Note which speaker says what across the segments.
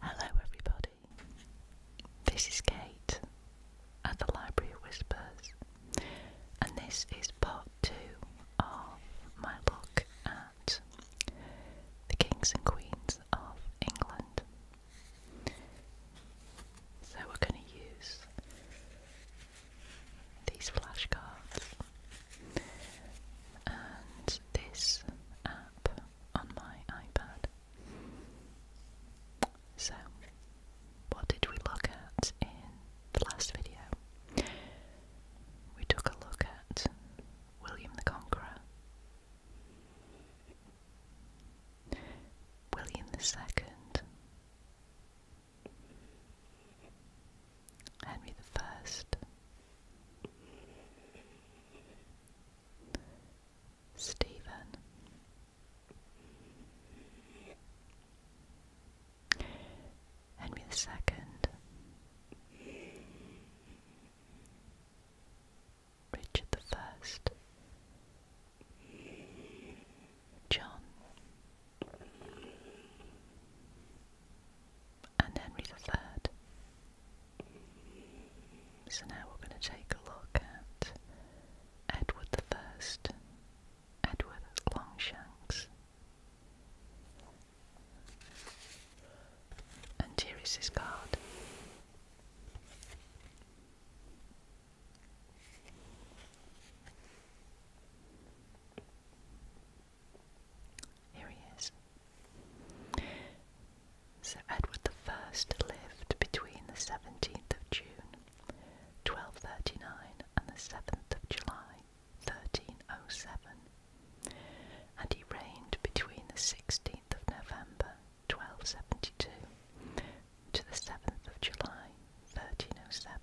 Speaker 1: Hello, everybody. This is Kate at the Library Whispers, and this is part two of my book at the kings and queens of England. So, we're going to use these flashcards and this app on my iPad. So, what did we look at in the last video? We took a look at William the Conqueror, William the Second, Henry the First, Stephen. Henry the Second, Richard the First, John, and Henry III. So now we're going to take a look at Edward I, Edward Longshanks. And here is card. Here he is. Sir Edward the First lived between the 17th of June 1239 and the 7th of July 1307, and he reigned between the 16th of November 1272 to the 7th of July 1307.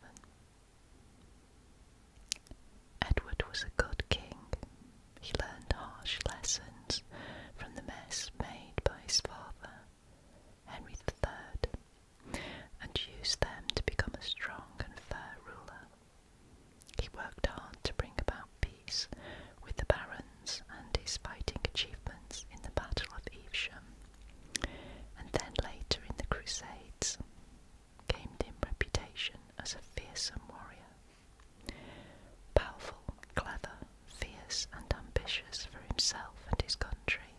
Speaker 1: Edward was a good king. He learned harsh lessons from the mess made by his father, Henry III, and used them to become a strong and fair ruler. He worked hard to bring about peace with the barons and his fighting achievements in the Battle of Evesham, and then later in the Crusades gained him reputation as a fearsome warrior. Powerful, clever, fierce, and ambitious for himself and his country,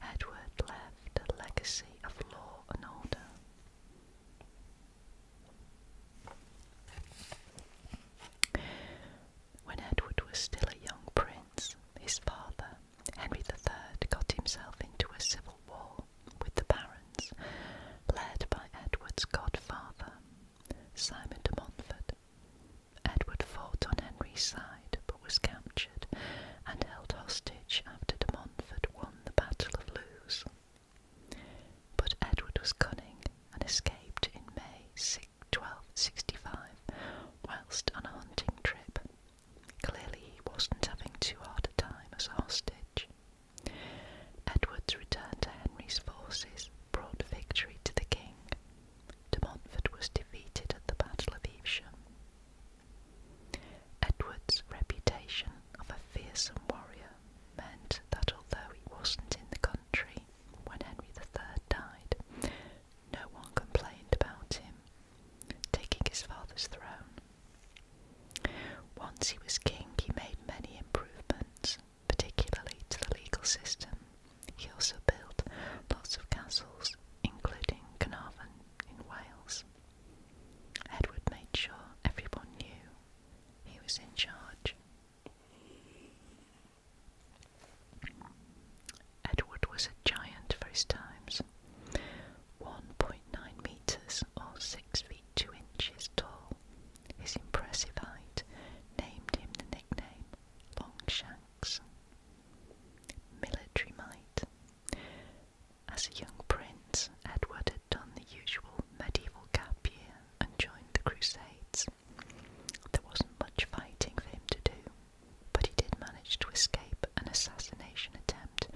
Speaker 1: Edward left a legacy of law and order. When Edward was still a young prince, his father, Henry III, got himself into a civil war with the barons, led by Edward's godfather, Simon de Montfort. Edward fought on Henry's side but was captured and held hostage after de Montfort won the Battle of Lewes. But Edward was cunning and escaped in May 1265 whilst on a hunting trip. Clearly, he wasn't having too hard a time as a hostage. Edward's return to Henry's forces brought victory to the king. De Montfort was defeated at the Battle of Evesham. Edward's reputation of a fearsome warrior meant that although he wasn't in the country when Henry III died, no one complained about him taking his father's throne once he was king, he made many improvements, particularly to the legal system. He also built lots of castles, including Carnarvon in Wales. Edward made sure everyone knew he was in charge. Edward was a giant for his times. 1.2 meters or 6 feet 2 inches tall. His impressive height named him the nickname Longshanks. Military might. As a young prince, Edward had done the usual medieval gap year and joined the Crusades. There wasn't much fighting for him to do, but he did manage to escape an assassination attempt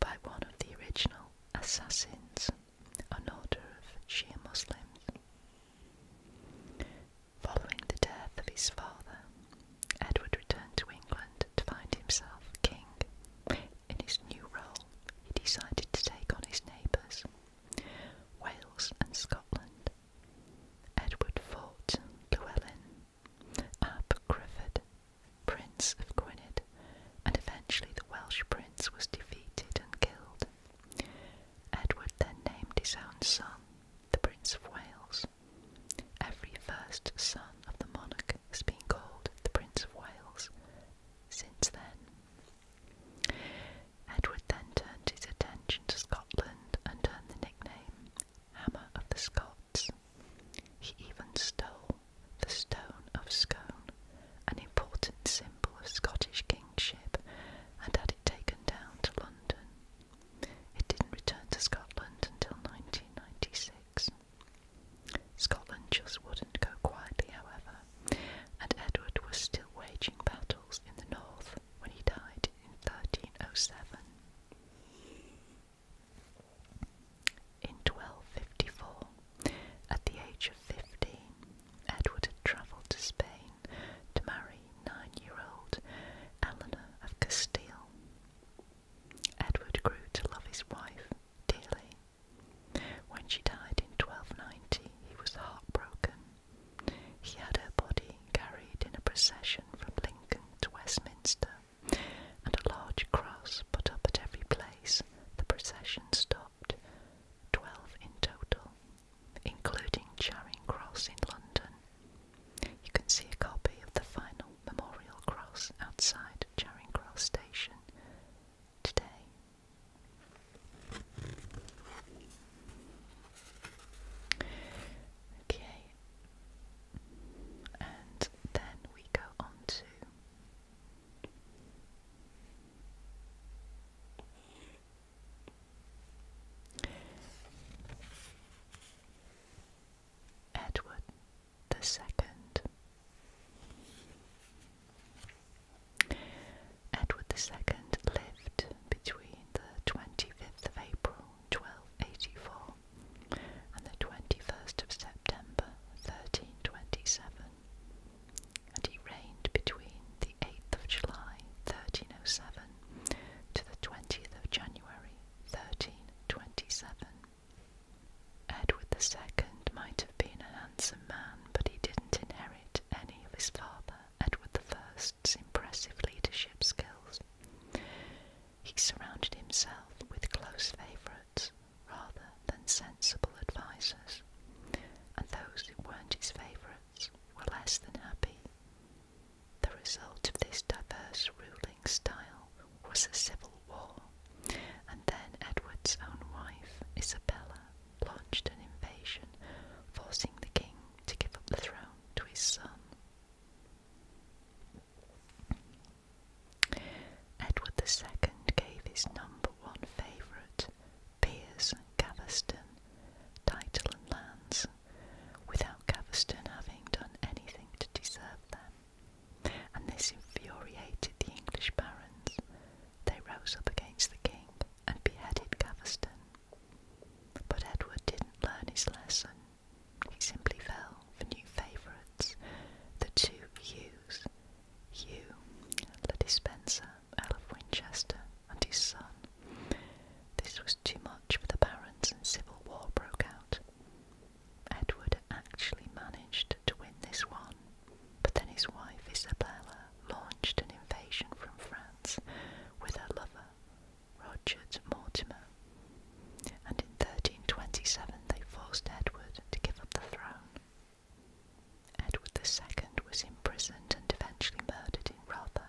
Speaker 1: by one of the original assassins an order of Shia Muslims. Following the death of his father, Edward returned to England to find himself king. In his new role, he decided to take on his neighbours, Wales and Scotland. Edward fought Llewellyn, Ab Griffith, Prince of Gwynedd, and eventually the Welsh prince was defeated and killed. Edward then named his own son the Prince of Wales. Every first son of the monarch has been called the Prince of Wales since then. Edward then turned his attention to Scotland and earned the nickname Hammer of the Scots. He even stole the Stone of Scone, an important symbol of Scottish kingship, and had it taken down to London. It didn't return to Scotland until 1996. Scotland just wouldn't go quietly, however, and Edward was still waging battles in the north when he died in 1307. In 1254, at the age of 15, Edward had travelled to Spain to marry nine year old Eleanor of Castile. Edward grew to love his wife dearly. When she died in 1290, he was heartbroken. He had her body carried in a procession from Lincoln to Westminster, and a large cross put up at every place the procession stopped, 12 in total, including Charing Cross in London. You can see a copy of the final memorial cross outside Charing Cross Station today. Okay, and then we go on to Edward the Second. Edward II lived between the 25th of April 1284 and the 21st of September 1327 and he reigned between the 8th of July 1307 to the 20th of January 1327. Edward II might have been a handsome man, but he didn't inherit any of his father, Edward I's impressive leadership skills. He surrounded himself with close favourites rather than sensible advisers, and those who weren't his favourites were less than happy. The result of this diverse ruling style was a civil war, and then Edward's own wife, Isabella, launched an invasion, forcing the king to give up the throne to his son. Edward II gave his number one favourite, Piers Gaveston, title and lands, without Gaveston having done anything to deserve them, and this infuriated the English barons. They rose up against the king and beheaded Gaveston. But Edward didn't learn his lesson. He simply fell for new favourites, the two Hughes, Hugh, Lady Spencer, Earl of Winchester, and his son. This was too much for the barons, and civil war broke out. Edward actually managed to win this one, but then his wife Isabella launched an invasion from France with her lover, Roger Mortimer, and in 1327 they forced Edward to give up the throne. Edward II was imprisoned and eventually murdered in rather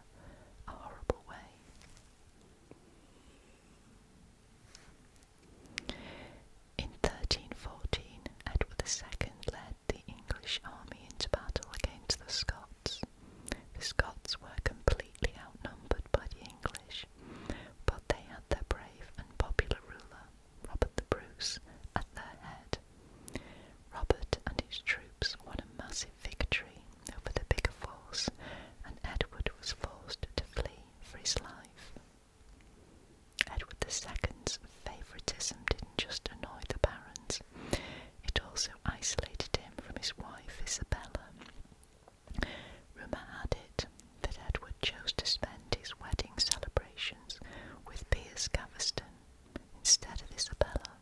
Speaker 1: a horrible way. In 1314, Edward II led the English army into battle against the Scots. The Scots were completely outnumbered by the English, but they had their brave and popular ruler, Robert the Bruce, at their head. Robert and his troops won a massive victory over the bigger force, and Edward was forced to flee for his life. Edward II's favouritism didn't just annoy the barons, it also isolated him from his wife Isabella. Rumour had it that Edward chose to spend his wedding celebrations with Piers Gaveston instead of Isabella.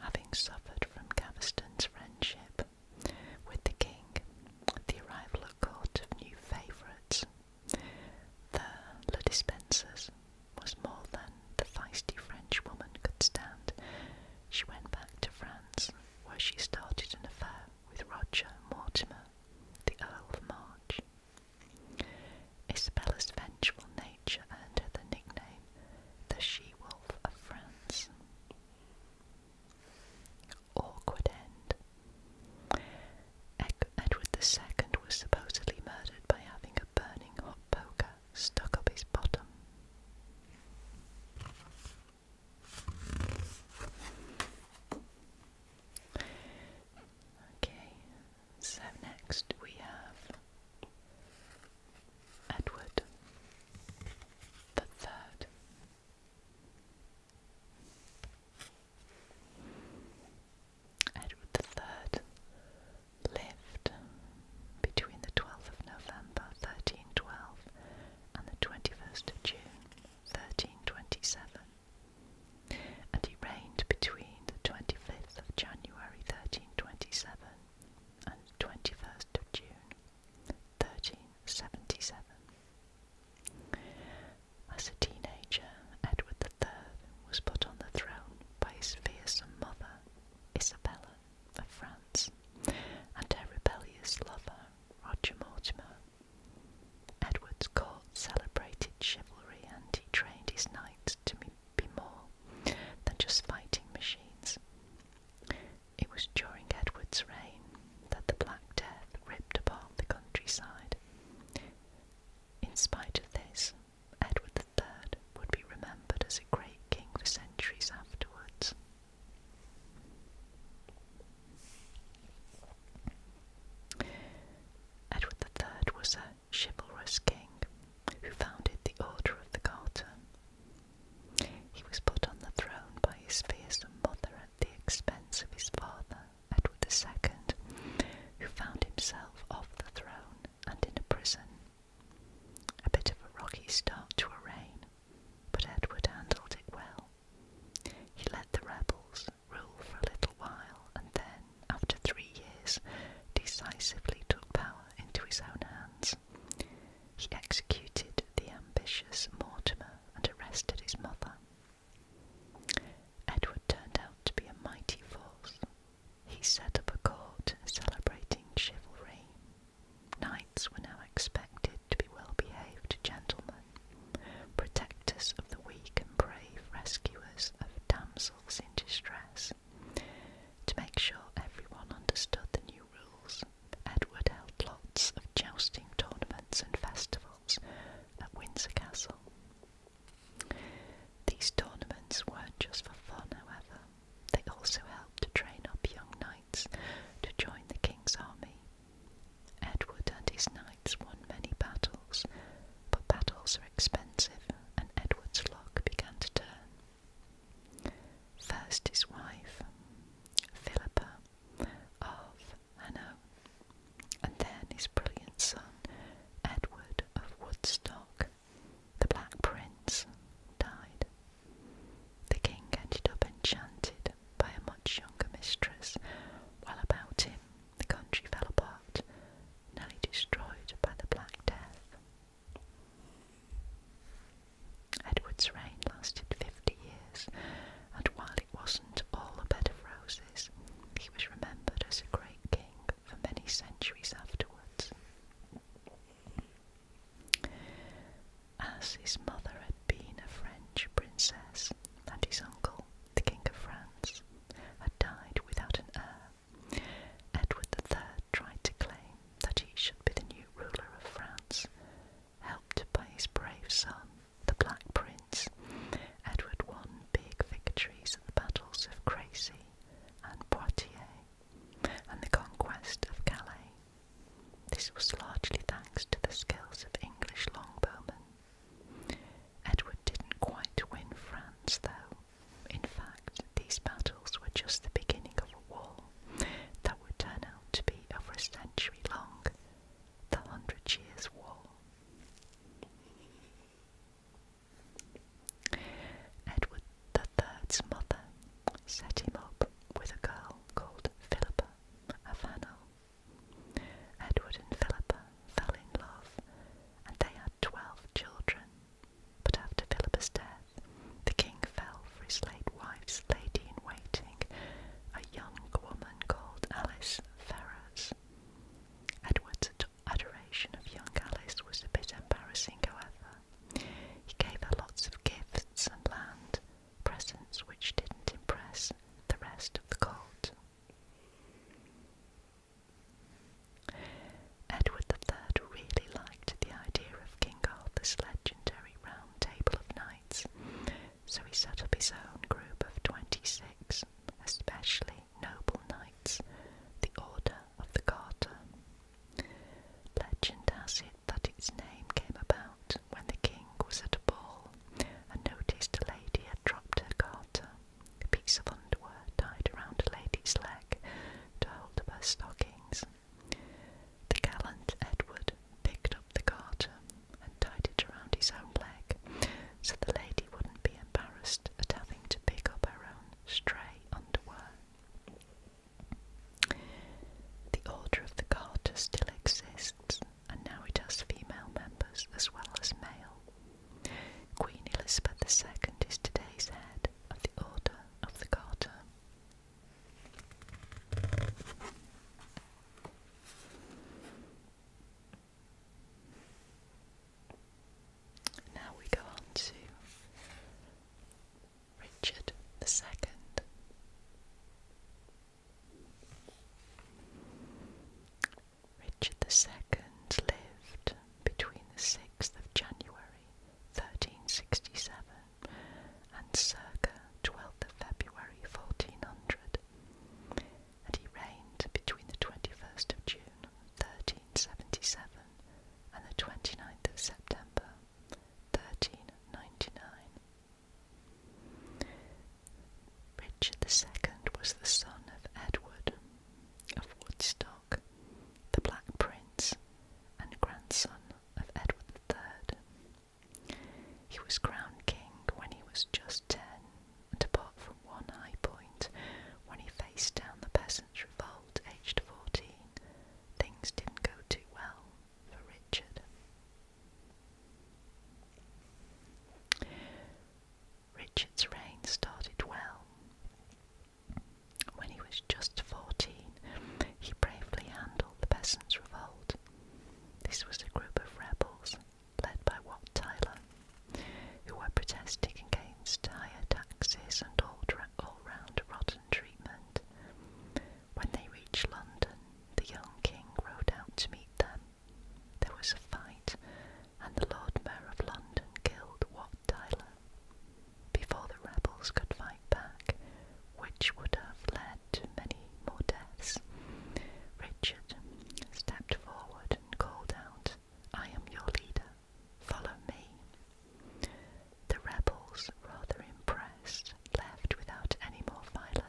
Speaker 1: Having suffered from Gaveston's friendship with the king, the arrival at court of new favourites, the Le Dispensers, was more than the feisty French woman could stand. She went back to France, where she started an affair with Roger Mortimer, the Earl of March. Isabella's vengeful nature earned her the nickname the She Wolf of France. Awkward end. Edward II was supposedly murdered by having a burning hot poker stuck up his bottom. Okay, so next we have Edward the Third. Edward the Third lived between the 12th of November 1312 and the 21st of June 1327, and he reigned between the 25th of January 1327 and 21st of June 1377. As a teenager, Edward III was put on the throne by his fearsome mother, Isabella of France, and her rebellious lover, Roger Mortimer, Edward's court celebrated chivalry and he trained his knights to be more than just fighting machines. It was during Edward's reign that the Black Death ripped apart the countryside. In spite of this, Edward III would be remembered as a great king for centuries afterwards. Edward III was a chivalrous king who founded the Order of the Garter. He was put on the throne by his fearsome mother at the expense of his father, Edward II, who found himself off the throne and in a prison. A bit of a rocky start to a reign, but Edward handled it well. He let the rebels rule for a little while and then, after three years, decisively took power into his own hands. He executed the ambitious Mortimer and arrested his mother. Edward turned out to be a mighty force. He set up a court celebrating chivalry. Knights were now expected to be well behaved gentlemen protectors of the weak and brave rescuers of damsels in distress. To make sure everyone understood the new rules, Edward held lots of jousting tournaments and festivals at Windsor Castle. These tournaments weren't just for fun, however, they also helped to train up young knights to join the king's army. Edward and his knights won many battles, but battles are expensive, and Edward's luck began to turn. First, his wife, Philippa of Hanau, and then his brilliant son, Edward of Woodstock. The Black Prince died. The king ended up enchanted by a much younger mistress. While about him, the country fell apart, nearly destroyed by the Black Death. Edward's reign lasted fifty years, and while it wasn't all a bed of roses, he was remembered as a great king for many centuries afterwards. As his mother had been a French princess, and his uncle, the King of France, had died without an heir, Edward III tried to claim that he should be the new ruler of France. Helped by his brave son, the Black Prince, Edward won big victories at the battles of Crécy and Poitiers and the conquest of Calais. This was largely thanks to the skills of English longbowmen. Edward didn't quite win France, though. In fact, these battles were just the beginning of a war that would turn out to be over a century long the Hundred Years' War. Edward III's mother set him with a girl called Philippa of Hainault, Edward and Philippa fell in love, and they had twelve children. But after Philippa's death, the king fell for his late wife's lady in waiting, a young woman called Alice Ferrers. Edward's adoration of young Alice was a bit embarrassing, however. He gave her lots of gifts and land, presence which didn't impress the rest of the court. Edward III really liked the idea of King Arthur's legendary Round Table of Knights, so he set up his own group of 26, especially noble knights, the Order of the Garter. Legend has it that its name came about when the king was at a ball and noticed a lady had dropped her garter, a piece of underwear tied around a lady's leg to hold her stockings. The gallant Edward picked up the garter and tied it around his own leg so the lady wouldn't be embarrassed at having to pick up her own stray underwear. The Order of the Garter still exists, and now it has female members as well as male. Queen Elizabeth II is today's head of the Order of the Garter. Now we go on to Richard II. Richard II lived between the 6th of January 1367 and circa 12th of February 1400, and he reigned between the 21st of June 1377 and the 29th of September 1399. Richard II was the son of Edward of Woodstock, the Black Prince, and grandson of Edward III. He was crowned king when he was just ten, and apart from one high point, when he faced down the peasants' revolt aged fourteen, things didn't go too well for Richard. Richard's reign started well. When he was just 14, he bravely handled the Peasants' Revolt. This was a group of rebels led by Wat Tyler, who were protesting against higher taxes and all-round rotten treatment. When they reached London, the young king rode out to meet them. There was a fight, and the Lord Mayor of London killed Wat Tyler before the rebels could fight back, which would have led to many more deaths. Richard stepped forward and called out, I am your leader, follow me. The rebels, rather impressed, left without any more violence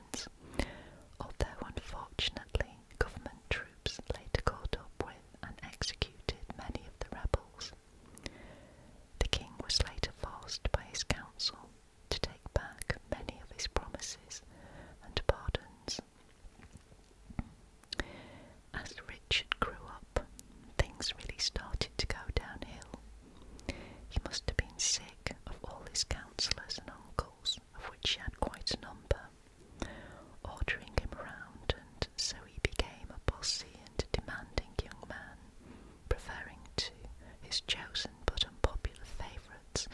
Speaker 1: although unfortunately government troops later caught up with and executed many of the rebels. The king was later forced by his council to take back many of his promises and pardons. As Richard grew up, things really started to go downhill he must have been sick of all his councillors and uncles, of which he had quite a number, ordering him round, and so he became a bossy and demanding young man, preferring to his chosen but unpopular favourites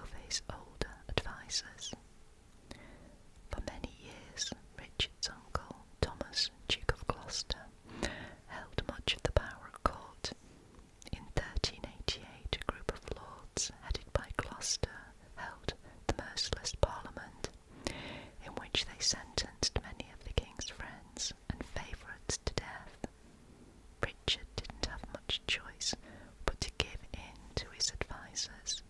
Speaker 1: over his older advisers. For many years, Richard's uncle, Thomas, Duke of Gloucester, held much of the power at court, in 1388, a group of lords headed by Gloucester held the merciless parliament, in which they sentenced many of the king's friends and favourites to death. Richard didn't have much choice but to give in to his advisers.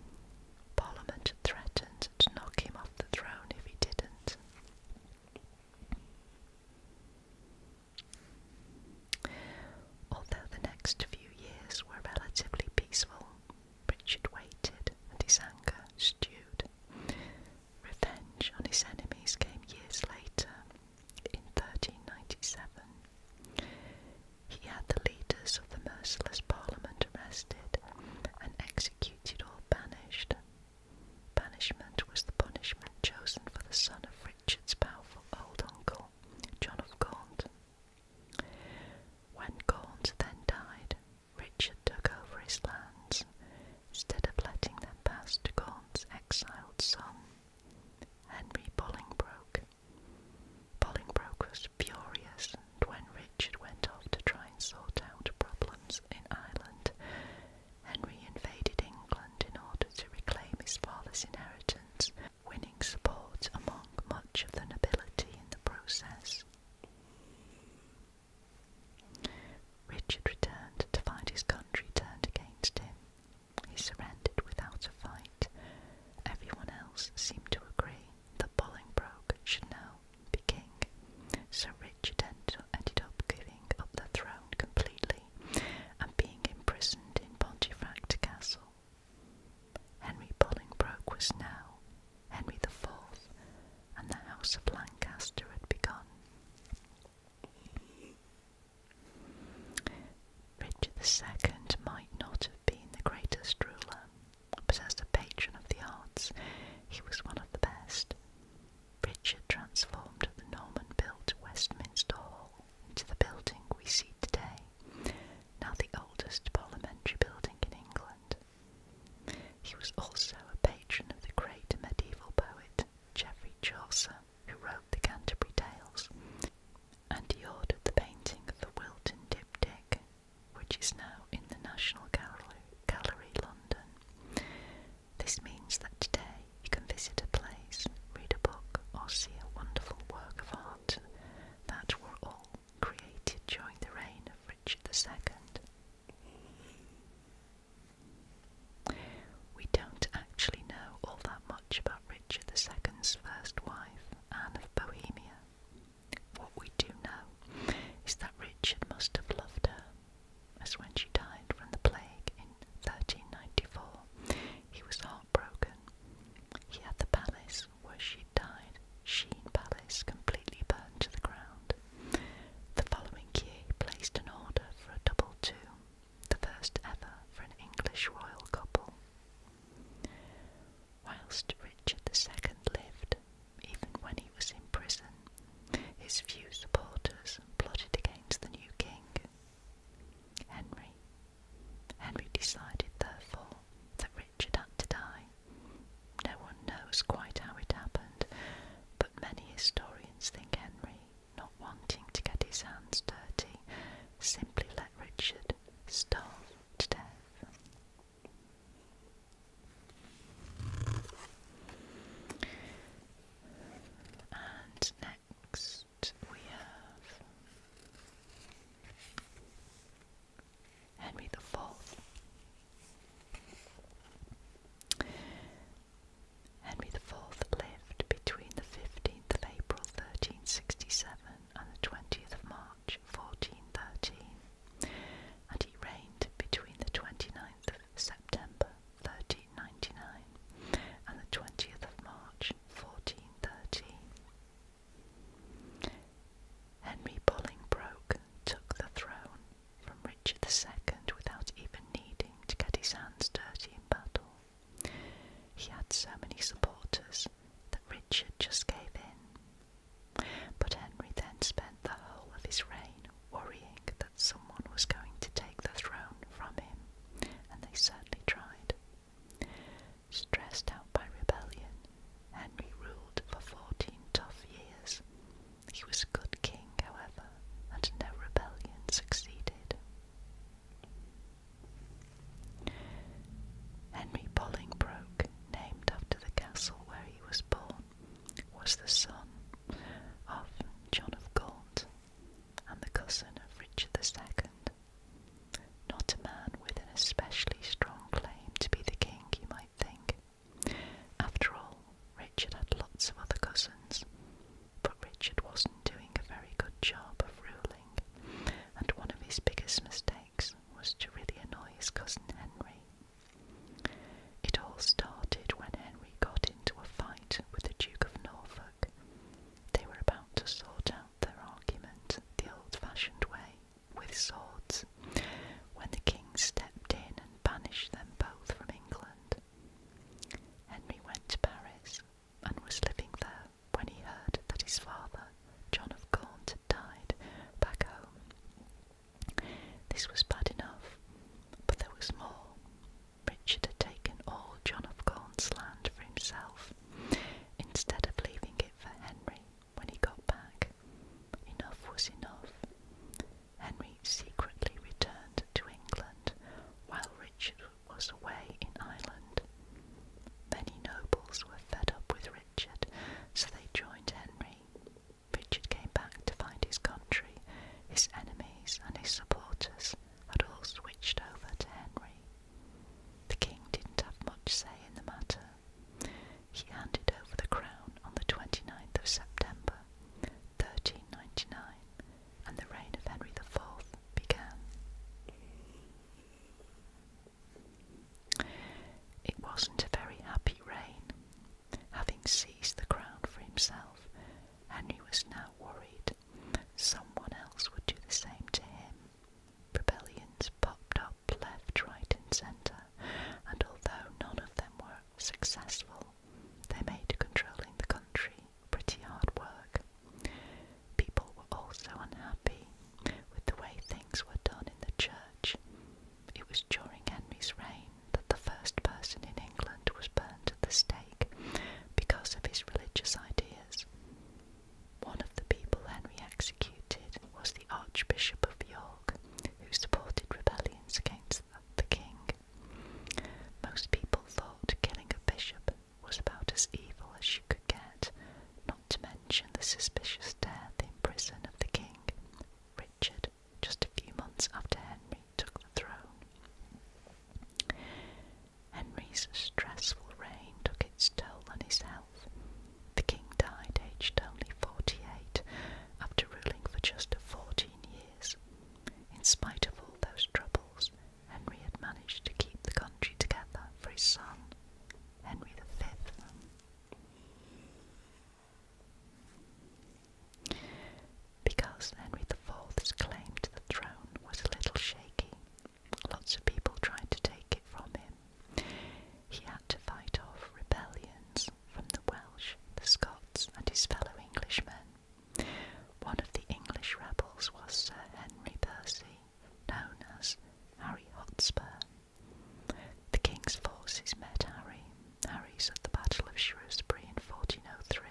Speaker 1: Parliament threatened to knock him off the throne if he didn't. Although the next few years were relatively peaceful, Richard waited and his anger stewed. Revenge on his enemies came years later, in 1397. He had the leaders of the merciless Parliament arrested and executed or banished, Banishment was the punishment chosen for the son of Richard's powerful old uncle, John of Gaunt. When Gaunt then died, Richard took over his lands instead of letting them pass to Gaunt's exiled son, Henry Bolingbroke. Bolingbroke was furious, and when Richard went off to try and sort out problems in Ireland, Henry invaded England in order to reclaim his father's inheritance, winning support among much of the nobility in the process. Richard returned to find his country turned against him. He surrendered without a fight. Everyone else seemed to agree that Bolingbroke should now be king, so Richard ended up giving up the throne completely and being imprisoned in Pontefract Castle. Henry Bolingbroke was now Henry IV, and the House of Lancaster had begun. Richard II might not have been the greatest ruler, but as a patron of the arts, he was one of the best, Richard transformed the Norman-built Westminster Hall into the building we see today, now the oldest parliamentary building in England. He was also a patron of the great medieval poet Geoffrey Chaucer, who wrote the Canterbury Tales, and he ordered the painting of the Wilton Diptych, which is now in the National Gallery London. This means that today you can visit a place, read a book, or see a wonderful work of art that were all created during the reign of Richard II. We don't actually know all that much about Richard II's first wife, Anne of Bohemia. What we do know is that Richard must have loved her as when she died from the plague in 1394. He was heartbroken. He had the palace where she died, Sheen Palace, completely burned to the ground. The following year, placed an order for a double tomb, the first ever for an English royal couple. Whilst Richard II lived, even when he was in prison, his few supporters plotted against the new king Henry. Henry decided, therefore, that Richard had to die. No one knows quite how it happened, but many historians think Henry, not wanting to get his hands dirty, simply let Richard starve to death. Next, we have Henry the Fourth. Henry the Fourth lived between the fifteenth of April, thirteen sixty-seven, and the twentieth of March, fourteen thirteen, and he reigned between the twenty-ninth of September 1399 and the 20th of March 1430. Henry Bolingbroke took the throne from Richard II without even needing to get his hands dirty in battle. He had so many supporters that Richard just gave in. But Henry then spent the whole of his reign worrying that someone was going to take the throne from him, and they certainly tried. Stressed out by rebellion, Henry ruled for fourteen tough years. He was a good king, however, and no rebellion succeeded. Henry Bolingbroke, named after the castle where he was born, was the son of John of Gaunt and the cousin of Richard the Second. Not a man with an especially strong claim to be the king, you might think. After all, Richard had lots of other cousins, but Richard wasn't doing a very good job of ruling, and one of his biggest mistakes was to really annoy his cousin Henry. It all started when Henry he got into a fight with the Duke of Norfolk. They were about to sort out their argument the old fashioned way, with swords, when the king stepped in and banished them both from England. Henry went to Paris and was living there when he heard that his father, John of Gaunt, had died back home. This was bad enough, but there was more. Richard had taken all John of Gaunt's land for himself, instead of leaving it for Henry when he got back. Enough was enough. Henry secretly returned to England while Richard was away in Ireland. Many nobles were fed up with Richard, so they joined Henry. Richard came back to find his country, his enemies, and his supporters had all switched over to Henry. The king didn't have much say in the matter. He handed over the crown on the 29th of September 1399, and the reign of Henry IV began. It wasn't a very happy reign. Having seized the crown for himself, Henry was now worried someone else would do the same to him. Rebellions popped up left, right, and centre, and although none of them were successful, they made controlling the country pretty hard work. People were also unhappy with the way things were done in the church. It was during Henry's reign that the first person in England was burned at the stake because of his religious ideas. One of the people Henry executed was the Archbishop of York, who supported rebellions against the king. Most people thought killing a bishop was about as evil as you could get, not to mention the suspicious death in prison of the king, Richard, just a few months after Henry took the throne. Henry's stressful reign took its toll on his health. The king died aged only 48 after ruling for just 14 years. In spite of all those troubles, Henry had managed to keep the country together for his son, Henry V. Because Henry IV's claim to the throne was a little shaky, lots of people tried to take it from him. He had to fight off rebellions from the Welsh, the Scots, and his fellow Englishmen. One of the English rebels was Sir Henry Percy, known as Harry Hotspur. The king's forces met Harry. Harry's at the Battle of Shrewsbury in 1403.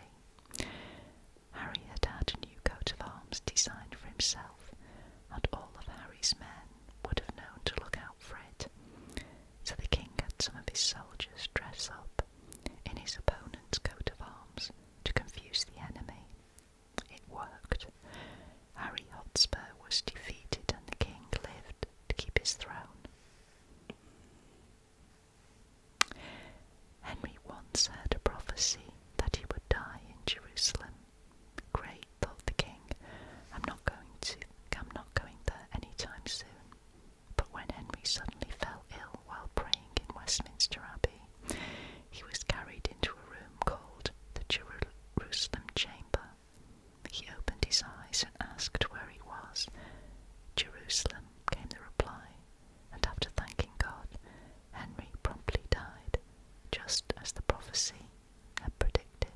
Speaker 1: Harry had had a new coat of arms designed for himself, and all of Harry's men would have known to look out for it. So the king had some of his soldiers dress up in his opponent's coat of arms to confuse the enemy. It worked. Harry Hotspur was defeated, and the king lived to keep his throne. Henry once had a prophecy that he would die in Jerusalem. Great, thought the king, I'm not going to I'm not going there any time soon. But when Henry suddenly fell ill while praying in Westminster Abbey, he was carried into a room called the Jerusalem Chamber. He opened his eyes and asked where he was. Jerusalem, came the reply and after thanking God, Henry promptly died, just as the prophecy had predicted.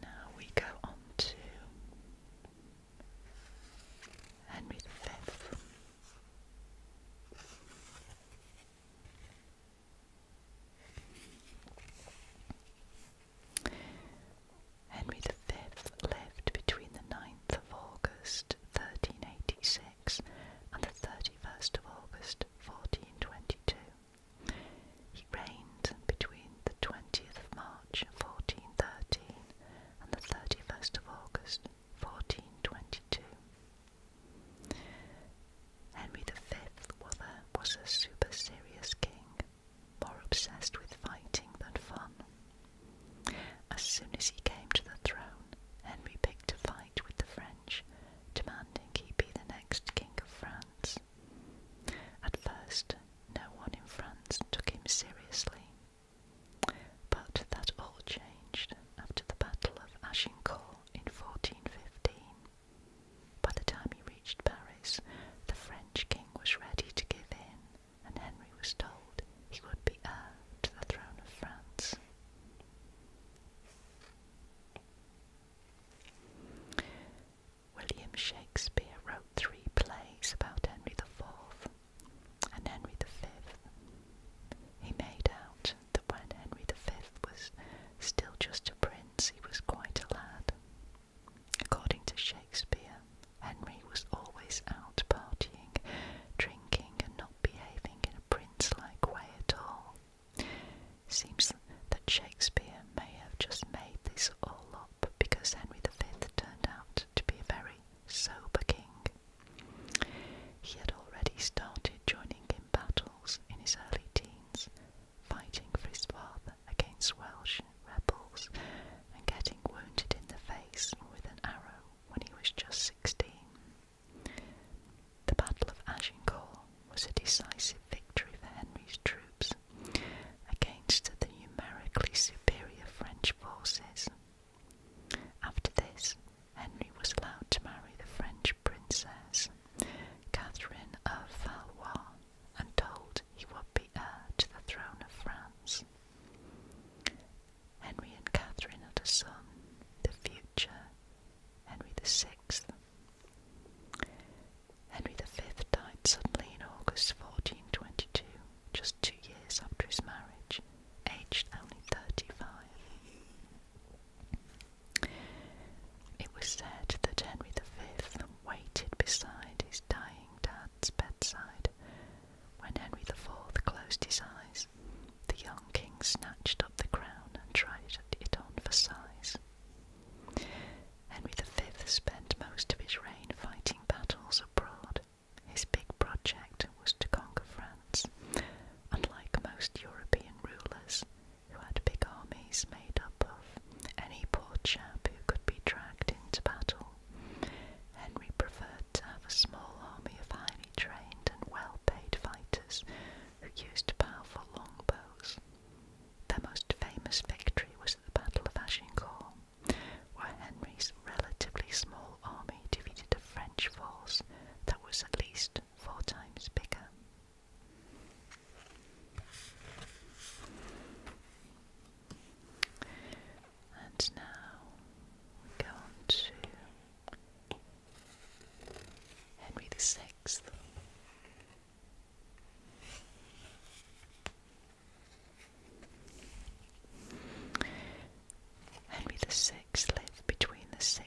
Speaker 1: Now we go on to Henry V. Henry V lived between the 9th of August 1386 and the 31st of August 1422. He reigned between the 20th of March 1413 and the 31st of August 1422. Henry V was a super serious king, more obsessed with fighting than fun. As soon as he came to the throne, Henry picked a fight with the French, demanding he be the next king of France. At first, no one in France took him seriously. But that all changed after the Battle of Agincourt in 1415. By the time he reached Paris, the French king was ready to give in, and Henry was told he would be heir to the throne of France. William Shakespeare wrote three plays about Henry the Fourth and Henry the Fifth. He made out that when Henry V was still just a prince, he was quite a lad. According to Shakespeare, Henry was always out partying, drinking, and not behaving in a prince like way at all. Seems that Shakespeare may have just made this all up because Henry V turned out to be a very sober king. He had already started joining in battle in his early teens, fighting for his father against Welsh rebels and getting wounded in the face with an arrow when he was just 16. The Battle of Agincourt was a decisive victory for Henry's troops against the numerically superior French forces. After this, Henry was allowed to marry the French princess, Catherine of Valois, and told he would be heir to the throne of France. Henry and Catherine had a son, the future Henry VI. Henry V died suddenly in August 1422, just two years after his marriage, aged only 35. It was said that Henry V waited beside his dying dad's bedside. When Henry IV closed his eyes, the young king snatched up the crown and tried it on for size. Henry V spent most of his reign fighting battles abroad. His big project was to conquer France. Unlike most European rulers, who had big armies made up of any poor chap who could be dragged into battle. Henry preferred to have a small army of highly trained and well paid fighters who used powerful longbows. Their most famous victory was at the Battle of Agincourt, where Henry's relatively small army defeated a French force that was at least four times bigger. And now we go on to Henry the Sixth. Henry the Sixth lived between the 16th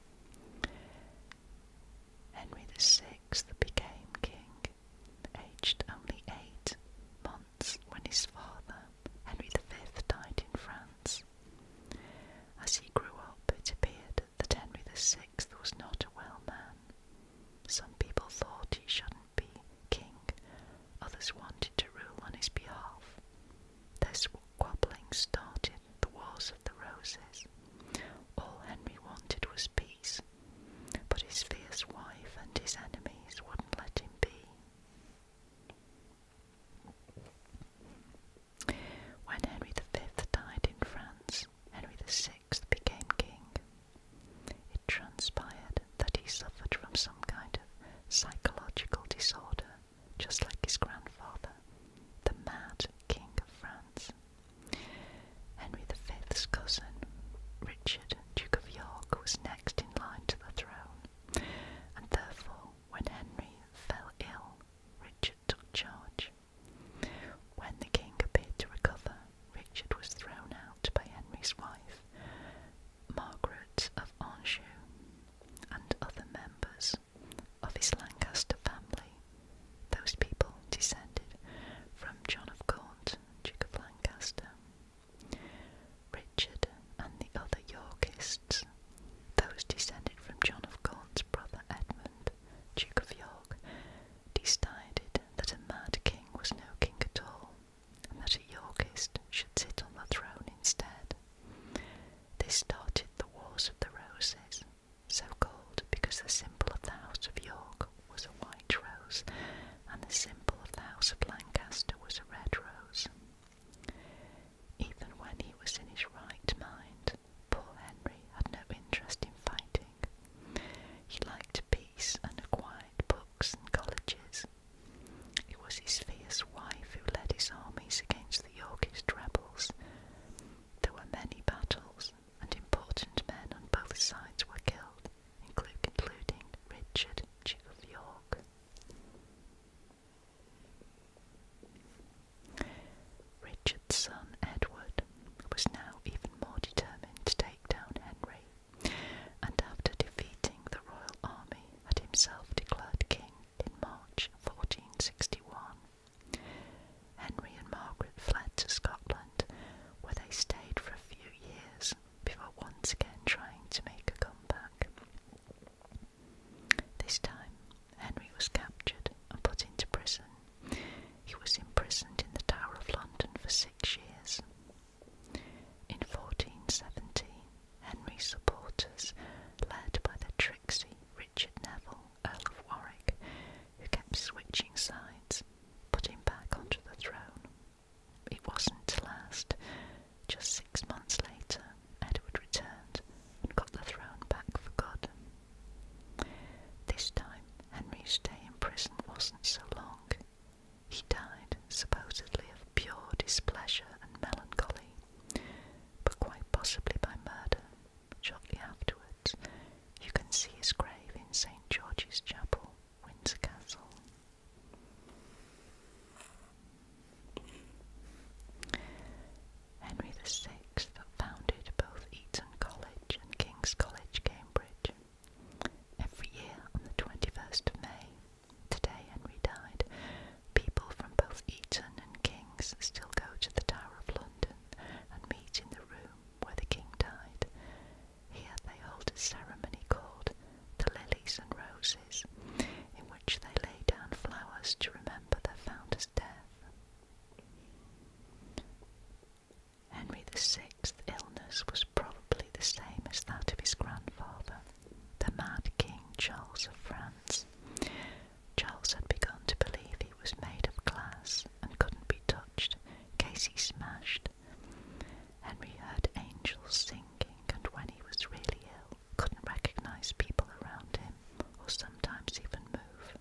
Speaker 1: Henry the Sixth became king, aged only eight months when his father, Henry the Fifth, died in France. As he grew up, it appeared that Henry the Sixth was not a well man. Some people thought he shouldn't be king, others wanted to rule on his behalf. This Quarreling started the walls of the Roses. All Henry wanted was peace, but his fierce wife and his enemies wouldn't let him be. When Henry V died in France, Henry VI became king. It transpired that he suffered from some kind of psychological disorder, just like his grandfather, the mad King of France. Henry V's cousin, Richard, Duke of York, was next in line to the throne, and therefore, when Henry fell ill, Richard took charge. When the king appeared to recover, Richard was thrown out by Henry's wife, Margaret of Anjou, and other members of his Lancaster family those people descended from John of Gaunt, Duke of Lancaster. Richard and the other Yorkists, those descended from John of Gaunt's brother Edmund, Duke of York, decided that a mad king was no king at all, and that a Yorkist should sit on the throne instead. They started the Wars of the Roses, so called because the symbol of the House of York was a white rose and the symbol of the House of Lancaster was a red rose. Even when he was in his right mind, poor Henry had no interest in fighting. He liked peace and quiet, books and colleges. It was his fierce wife who led his armies against the Yorkist rebels. There were many battles, and important men on both sides were killed, including Richard, Duke of York. Richard's son Edward was now even more determined to take down Henry, and after defeating the royal army, had himself declared king in March 1461. Henry and Margaret fled to Scotland, where they stayed for a few years before once again trying to make a comeback. This time, Henry was captured and put into prison. He was imprisoned in the Tower of London for six years. In 1417, Henry's supporters, led by the tricksy Richard Neville, Earl of Warwick, who kept switching sides, put him back onto the throne. It wasn't to last. Just six months later, Edward returned and got the throne back for good. This time, Henry's stay in prison wasn't so long. He died supposedly of pure displeasure and melancholy, but quite possibly by murder Shortly afterwards, you can see his grave in St George's Chapel, Windsor Castle. Henry VI founded both Eton College and King's College, Cambridge. Every year on the 21st of May, today Henry died, people from both Eton and King's still go to the Tower of London and meet in the room where the king died. Here they hold a ceremony called the Lilies and Roses, in which they lay down flowers to remember their founder's death. Henry VI's illness was probably the same as that of his grandfather, the mad King Charles of France, Charles had begun to believe he was made of glass and couldn't be touched in case he smashed. Henry heard angels singing, and when he was really ill, couldn't recognize people around him or sometimes even move.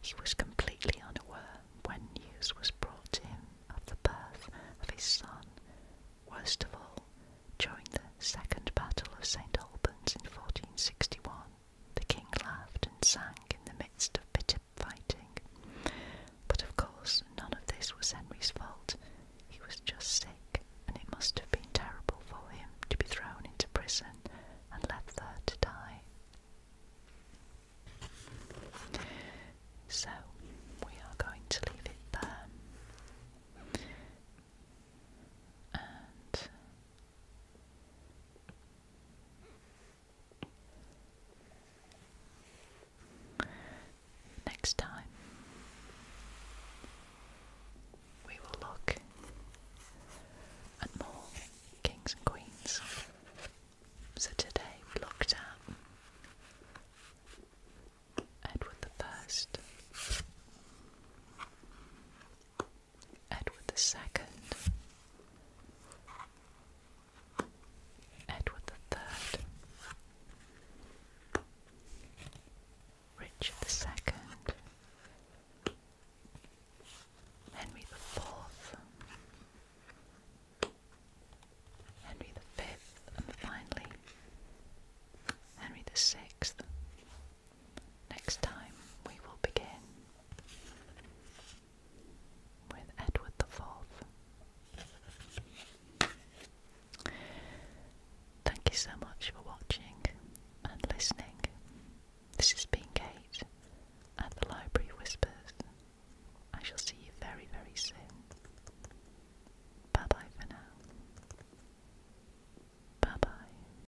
Speaker 1: He was completely unaware when news was brought in of the birth of his son. Worst of all, during the Second Battle of St. Albans in 1461, the king laughed and sang in the midst of bitter fighting. But of course, none of this was Henry's fault. He was just sick, and it must have been terrible for him to be thrown into prison and left there to die. So, we are going to leave it there. And Next time, we will look at more kings and queens. So today we looked at Edward the First. Edward II, Edward Third, Richard the Second, Henry the Fourth, Henry V, and finally Henry Sixth. Next time we will begin with Edward the Fourth. Thank you so much for watching and listening. This has been Kate at the Library Whispers. I shall see you very, very soon. Bye bye for now. Bye bye.